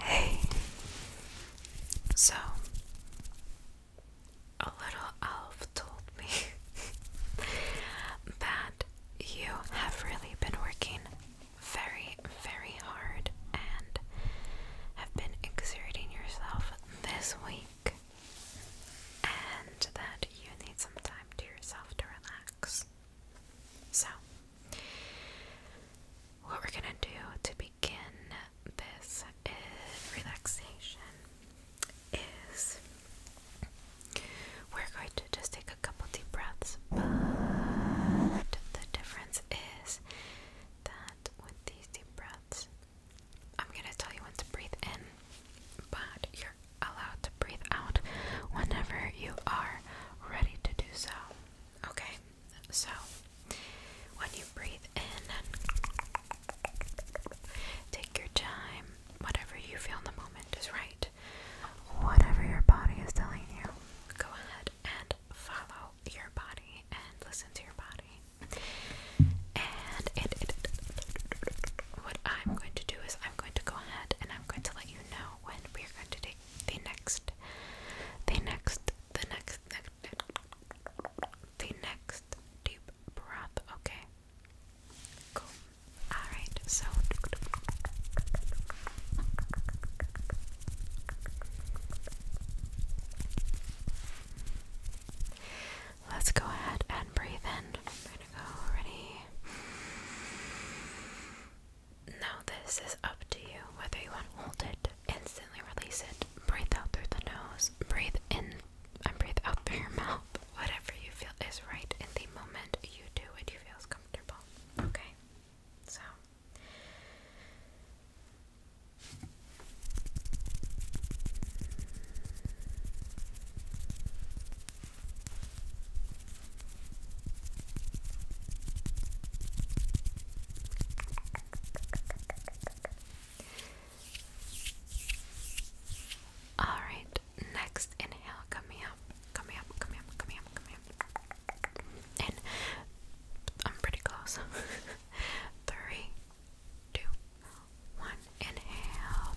Hey, so a little elf told me that you have really been working very, very hard and have been exerting yourself this week, and that you need some time to yourself to relax. So, what we're gonna do to begin this relaxation is we're going to just take a couple deep breaths, but the difference is that with these deep breaths, I'm gonna tell you when to breathe in, but you're allowed to breathe out whenever you are ready to do so. Okay, so when you breathe in and take your time, whatever you feel in the moment is right. Whatever your body is telling you, go ahead and follow your body and listen to your body. And it, it, it, what I'm going to do is I'm going to go ahead and I'm going to let you know when we are going to take the next, the next, the next, the next, the next deep breath. Okay. Cool. Alright, so. Let's go ahead and breathe in. ready. Now, this is up to you whether you want to hold it, instantly release it, breathe out through the nose, breathe in and breathe out through your mouth. Whatever you feel is right in the moment, you do what you feel is comfortable. Okay? So. All right, next inhale, come here, come here, come here, come here, come here. And I'm pretty close. Three, two, one, inhale.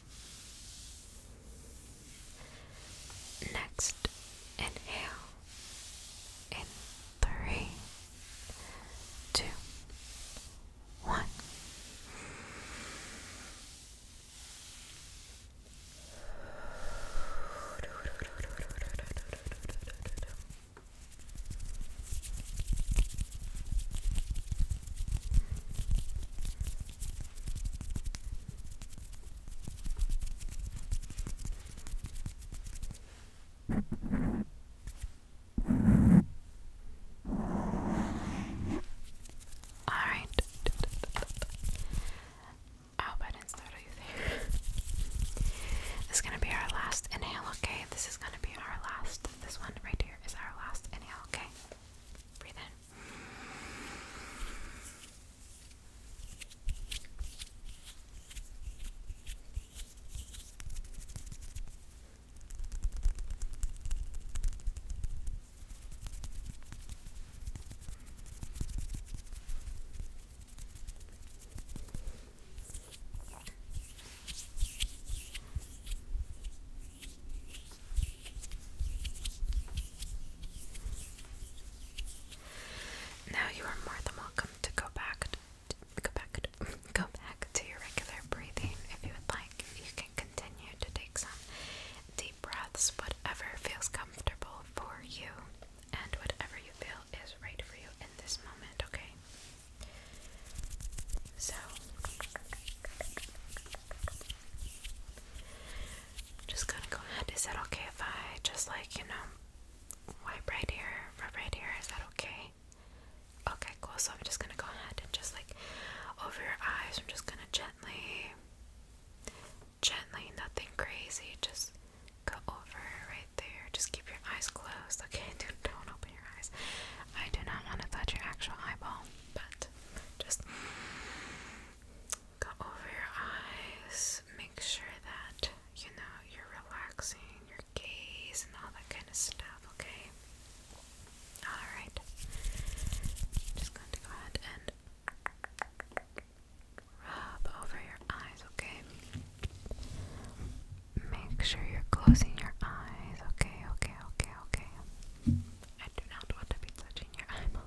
Next, inhale in three, two, one. Alright. this is gonna be our last inhale, okay? This is gonna be our last. This one right here is our last inhale, okay? Breathe in. Now you are more than welcome to go back go back go back to your regular breathing if you would like. You can continue to take some deep breaths, whatever feels comfortable for you and whatever you feel is right for you in this moment, okay? So, I'm just gonna go ahead. Is that okay if I just like, you know, wipe right here, rub right here? Is that okay? Okay, cool. So, I'm just gonna go ahead and just like over your eyes, I'm just gonna gently, gently, nothing crazy, just go over right there. Just keep your eyes closed, okay? Dude, don't open your eyes. I do not want to touch your actual eyeball but just go over your eyes, make sure that you know you're relaxing your gaze and all that kind of stuff, okay? Alright. Just going to go ahead and rub over your eyes, okay? Make sure you're closing your eyes, okay, okay, okay, okay. I do not want to be touching your eyeball.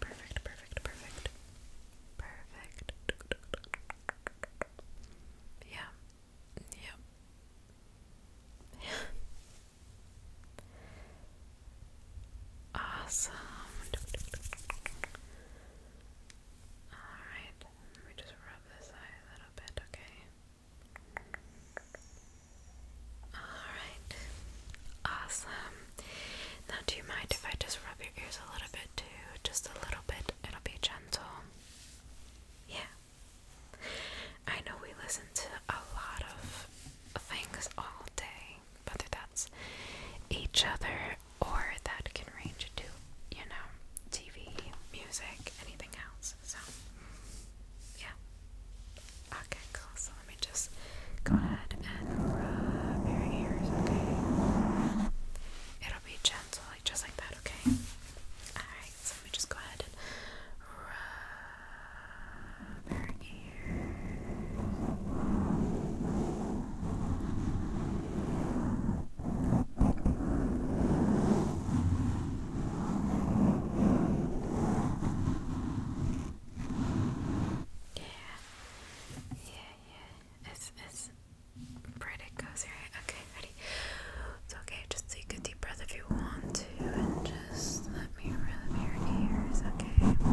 perfect, perfect, perfect, perfect. Perfect. Yeah. Yep. Yeah. awesome. All right. Let me just rub this eye a little bit, okay? Alright. Awesome. Now, do you mind if I just rub your ears a little bit too? Just a little bit. It'll be gentle. Yeah. I know we listen to a lot of things all day, whether that's each other or that can range to, you know, TV, music, anything else. So, yeah. Okay, cool. So let me just go ahead and rub your ears, okay? It'll be gentle, like just like that, okay? Alright, so let me just go ahead and rub your ears yeah. It's it's pretty cozy, right? Okay, ready. It's okay. Just take a deep breath if you want to, and just let me rub your ears. Okay.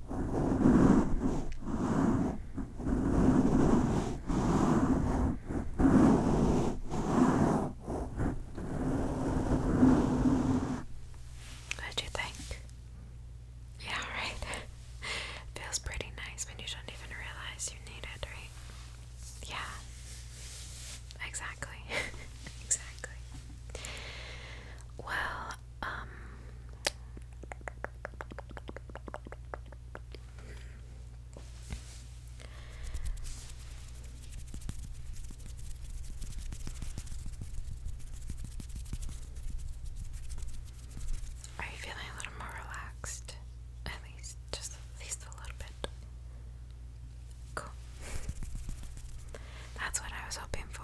What do you think? Yeah, right? Feels pretty nice when you don't even realize you need it, right? Yeah. Exactly. exactly. Well, um, are you feeling a little more relaxed? At least, just at least a little bit. Cool. That's what I was hoping for.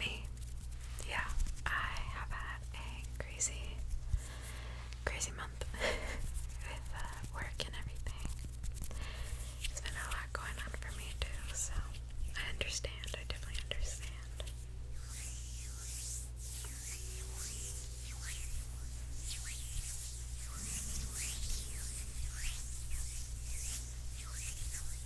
Me, yeah, I have had a crazy, crazy month with uh, work and everything. There's been a lot going on for me too, so I understand. I definitely understand.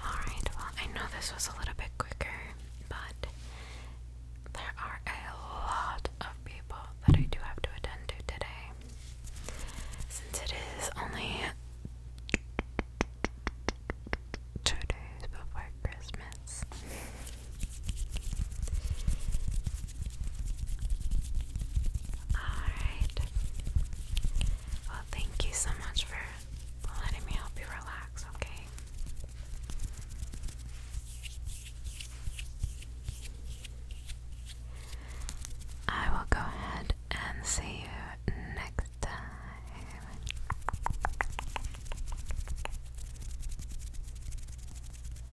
Alright, well, I know this was a little bit quicker, but there are a lot of people that I do have to attend to today. Since it is only two days before Christmas. Alright. Well, thank you so much for letting me help you relax, okay? I will go ahead and see you next time.